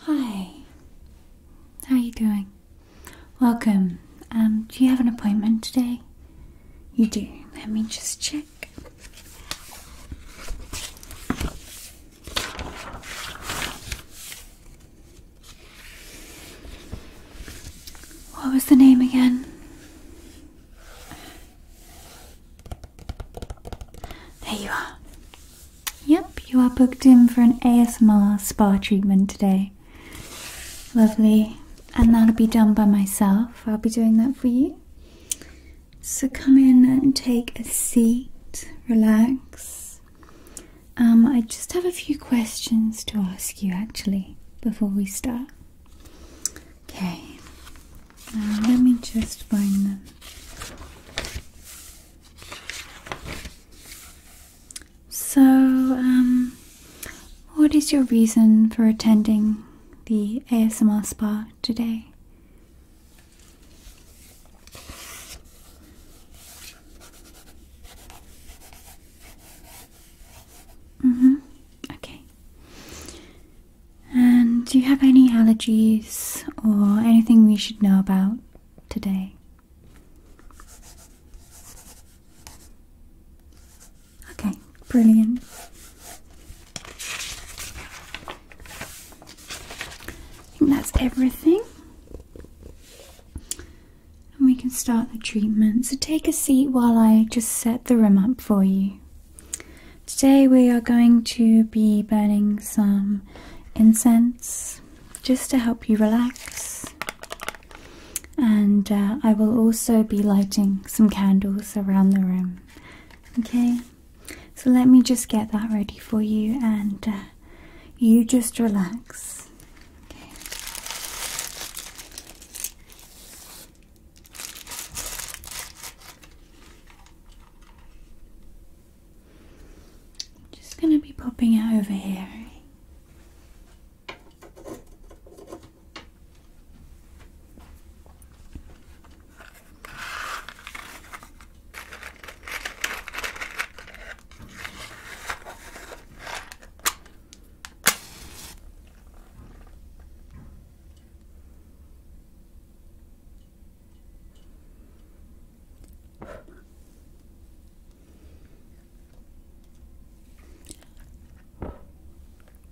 Hi, how are you doing? Welcome. Um, do you have an appointment today? You do. Let me just check. What was the name again? There you are. Yep, you are booked in for an ASMR spa treatment today. Lovely. And that'll be done by myself. I'll be doing that for you. So come in and take a seat, relax. Um, I just have a few questions to ask you actually before we start. Okay, um, let me just find them. So, um, what is your reason for attending the ASMR spa today? Mhm. Mm okay. And do you have any allergies or anything we should know about? today. Okay, brilliant. I think that's everything. And we can start the treatment. So take a seat while I just set the room up for you. Today we are going to be burning some incense just to help you relax. And uh, I will also be lighting some candles around the room. Okay, so let me just get that ready for you and uh, you just relax. Okay. I'm just going to be popping out over here.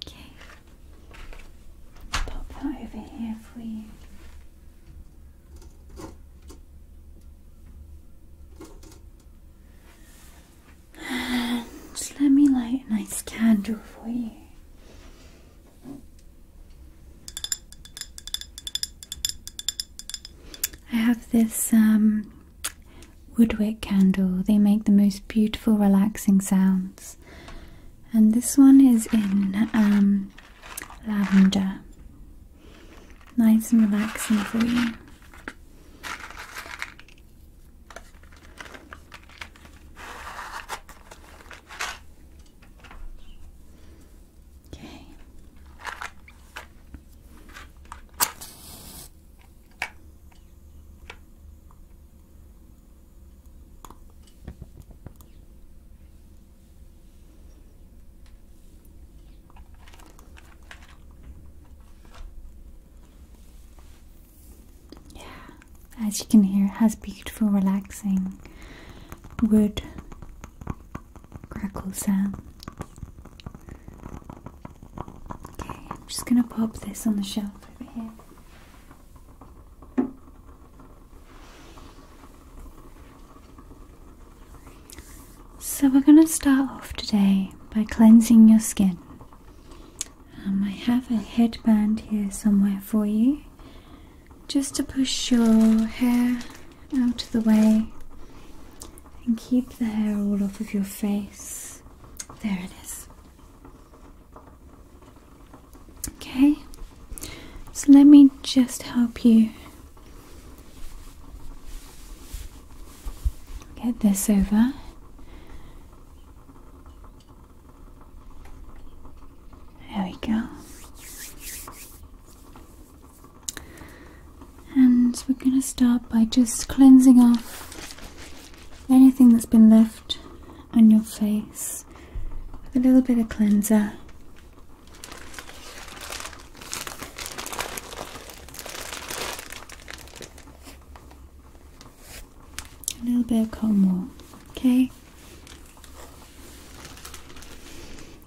Okay, pop that over here for you. And let me light a nice candle for you. I have this um, woodwick candle. They make the most beautiful, relaxing sounds. And this one is in um, lavender. Nice and relaxing for you. Okay. Yeah, as you can hear, it has beautiful relaxing wood crackle sound. Okay, I'm just going to pop this on the shelf over here. So, we're going to start off today by cleansing your skin. Um, I have a headband here somewhere for you just to push your hair out of the way and keep the hair all off of your face. There it is. Okay, so let me just help you get this over. There we go. And we're going to start by just cleansing off anything that's been left on your face with a little bit of cleanser. A little bit of comb, okay?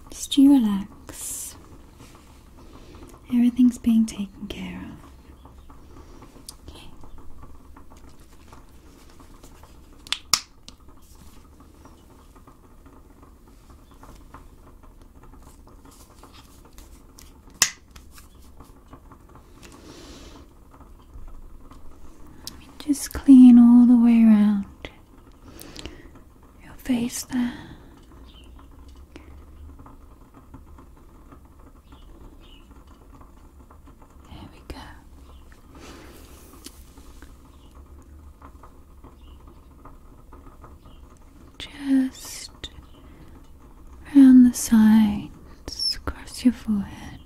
Just you relax. Everything's being taken care of. Just clean all the way around your face there. Here we go. Just around the sides, across your forehead,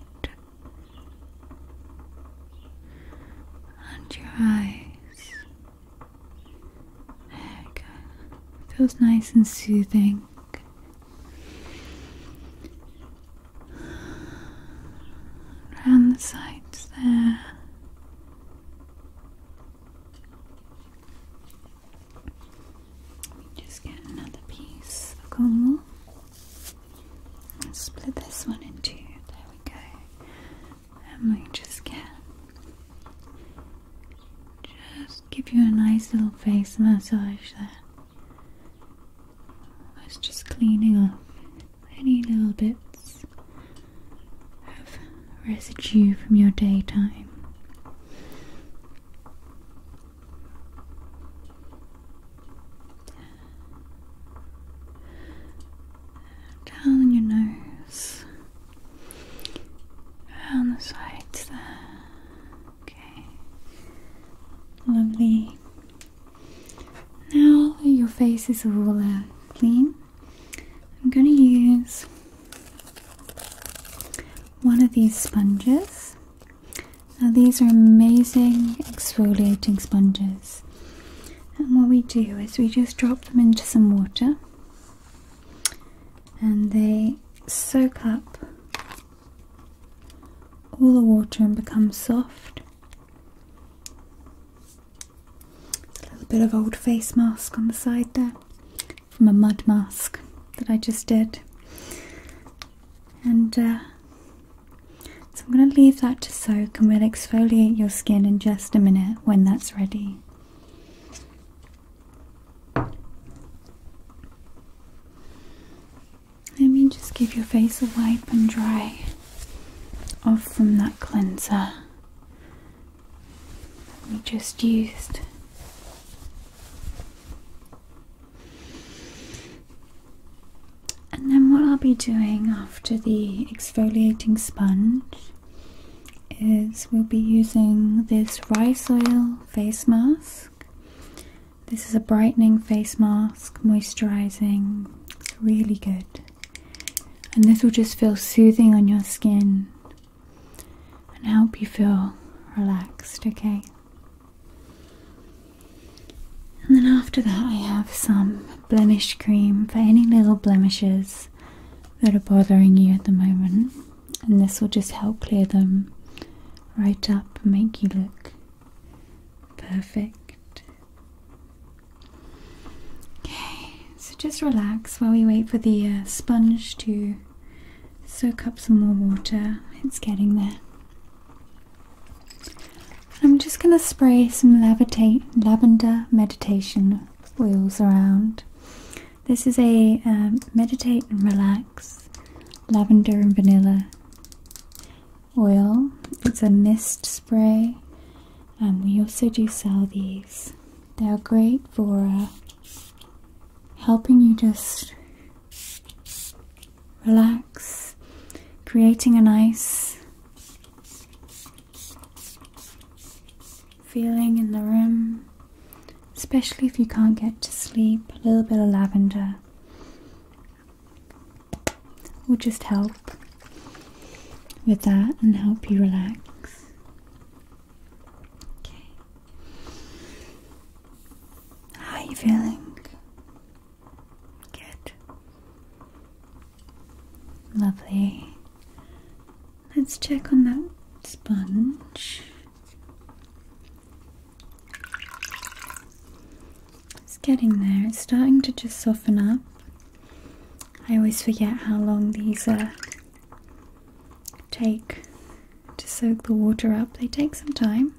and your eyes. There you go. Feels nice and soothing. Around the sides there. just get another piece of cornwall split this one in two. There we go. And we just get. Just give you a nice little face massage there. That's just cleaning up any little bits of residue from your daytime down your nose, down the sides there. Okay, lovely. Now your face is all uh, clean. I'm going to use one of these sponges. Now, these are amazing exfoliating sponges. And what we do is we just drop them into some water and they soak up all the water and become soft. A little bit of old face mask on the side there from a mud mask that I just did. And uh, so I'm going to leave that to soak and we'll exfoliate your skin in just a minute when that's ready. Let me just give your face a wipe and dry off from that cleanser we just used. And then, what I'll be doing after the exfoliating sponge is we'll be using this rice oil face mask. This is a brightening face mask, moisturizing, it's really good. And this will just feel soothing on your skin and help you feel relaxed, okay? And then after that, I have some blemish cream for any little blemishes that are bothering you at the moment. And this will just help clear them right up and make you look perfect. Okay, so just relax while we wait for the uh, sponge to soak up some more water. It's getting there. I'm just going to spray some lavender meditation oils around. This is a um, meditate and relax lavender and vanilla oil. It's a mist spray, and we also do sell these. They are great for uh, helping you just relax, creating a nice feeling in the room, especially if you can't get to sleep. A little bit of lavender will just help with that and help you relax. How are you feeling? Good. Lovely. Let's check on that sponge. It's getting there. It's starting to just soften up. I always forget how long these uh, take to soak the water up. They take some time.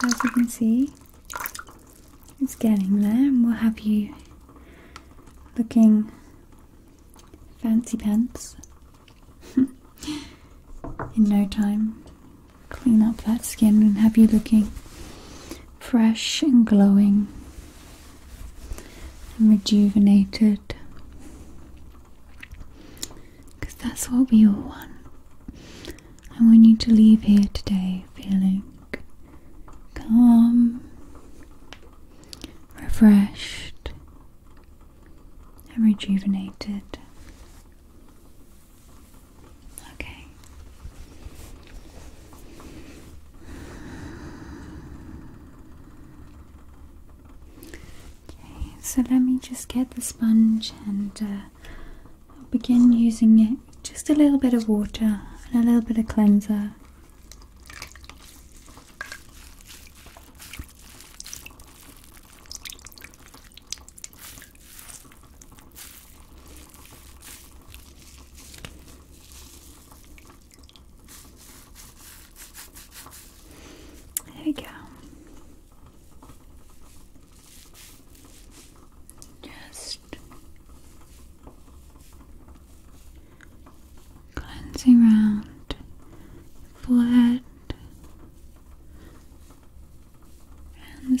But as you can see, it's getting there, and we'll have you looking fancy pants in no time. Clean up that skin and have you looking fresh and glowing and rejuvenated. Because that's what we all want. I want you to leave here today feeling calm, refreshed, and rejuvenated. Okay. Okay, so let me just get the sponge and uh, I'll begin using it just a little bit of water and a little bit of cleanser. There we go. Just cleansing around forehead and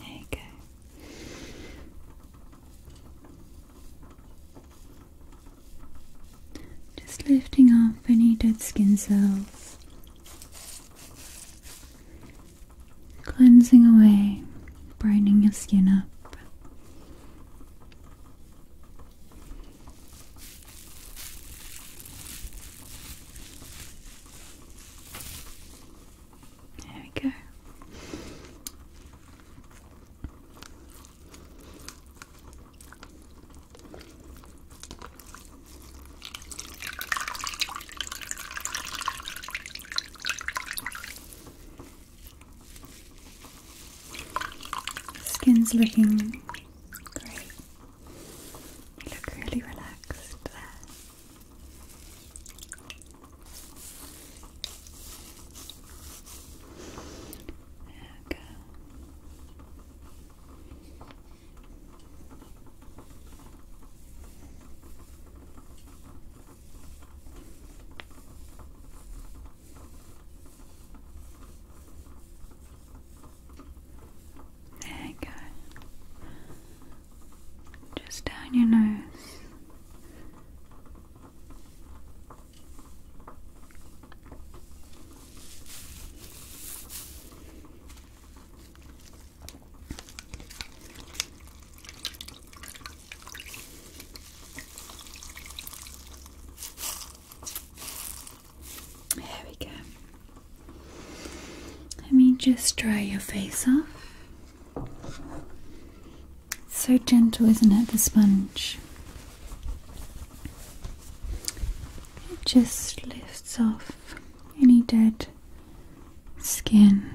There you go. Just lifting off any dead skin cells, cleansing away, brightening your skin up. There we go. Skin's looking great. You look really relaxed there we go. There you go just down your nose. There we go. Let me just dry your face off so gentle, isn't it, the sponge? It just lifts off any dead skin.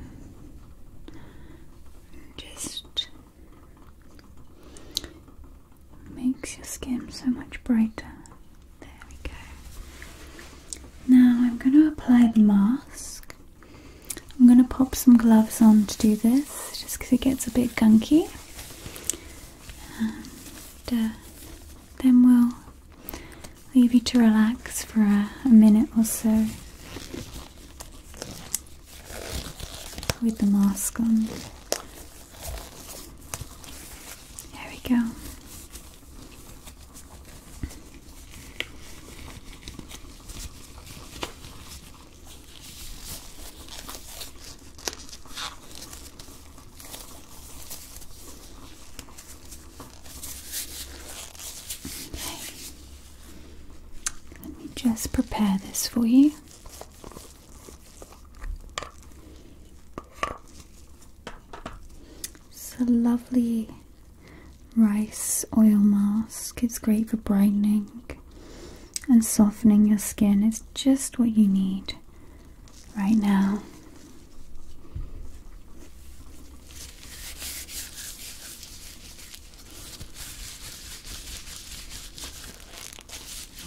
Just makes your skin so much brighter. There we go. Now I'm going to apply the mask. I'm going to pop some gloves on to do this just because it gets a bit gunky. And uh, then we'll leave you to relax for a minute or so with the mask on. There we go. Let me just prepare this for you. It's a lovely rice oil mask. It's great for brightening and softening your skin. It's just what you need right now.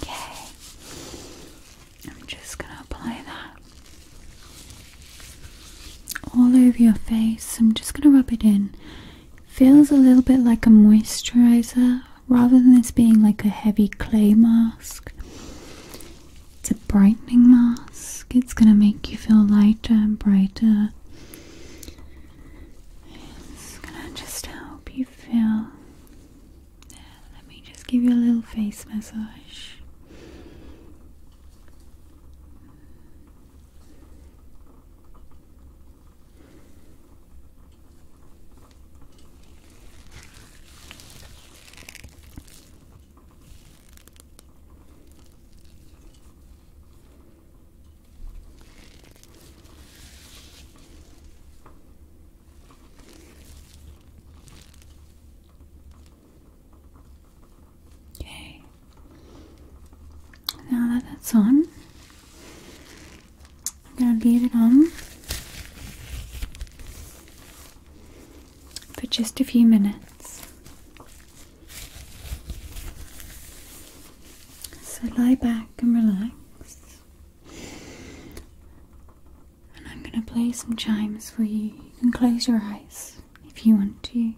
Okay. I'm just going to apply that all over your face. I'm just going to rub it in. Feels a little bit like a moisturizer rather than this being like a heavy clay mask. It's a brightening mask. It's going to make you feel lighter and brighter. It's going to just help you feel. let me just give you a little face massage. Yay, now that that's on, I'm gonna leave it on for just a few minutes. So lie back and relax, and I'm gonna play some chimes for you. You can close your eyes if you want to.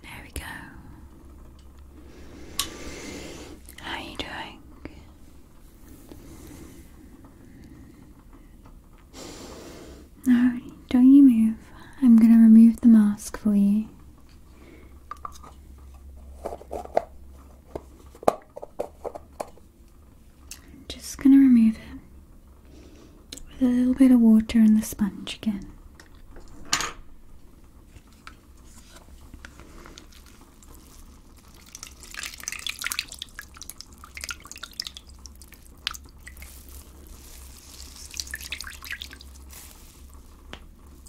There we go. How are you doing? No, don't you move. I'm going to remove the mask for you. I'm just going to remove it with a little bit of water and the sponge again.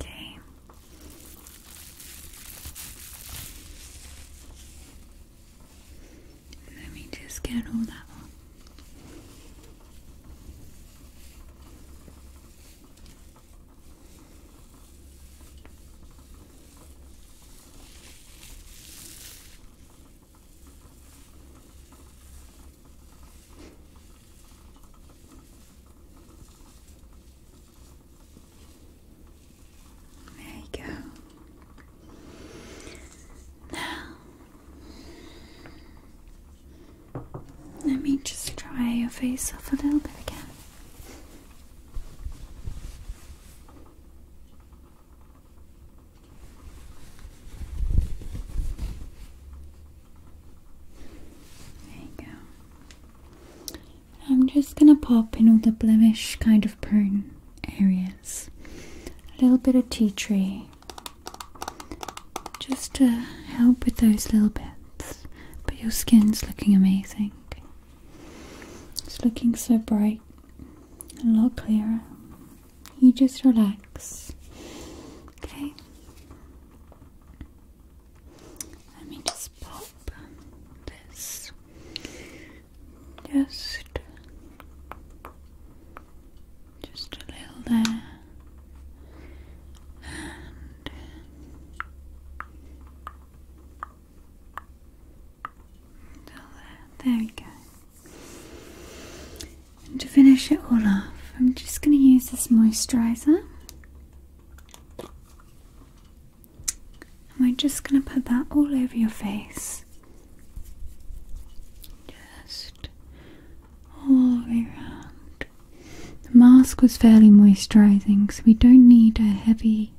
Okay. Let me just get all that there you go. Now, let me just dry your face off a little bit again. There you go. I'm just gonna pop in all the blemish kind of prone areas. A little bit of tea tree. Just to help with those little bits. But your skin's looking amazing. It's looking so bright a lot clearer. You just relax, okay? Let me just pop this just just a little there there. we go. to finish it all off, I'm just going to use this moisturizer. And we're just going to put that all over your face. Just all around. The mask was fairly moisturizing, so we don't need a heavy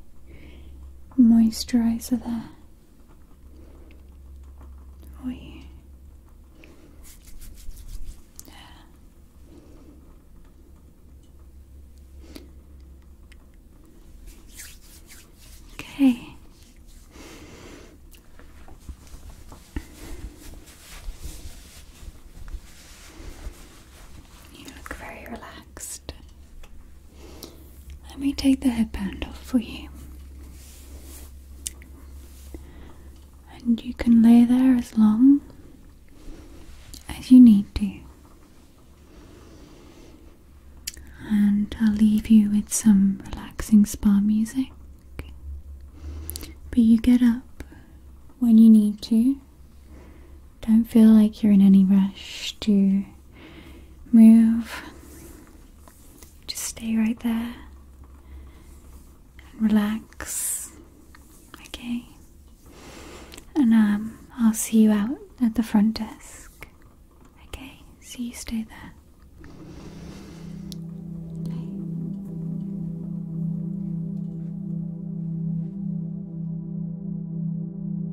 moisturizer there. Oh, yeah. Okay. You look very relaxed. Let me take the headband off for you. And you can lay there as long as you need to. And I'll leave you with some relaxing spa music. But you get up when you need to don't feel like you're in any rush to move. Just stay right there and relax. Okay? And um, I'll see you out at the front desk. Okay? So you stay there.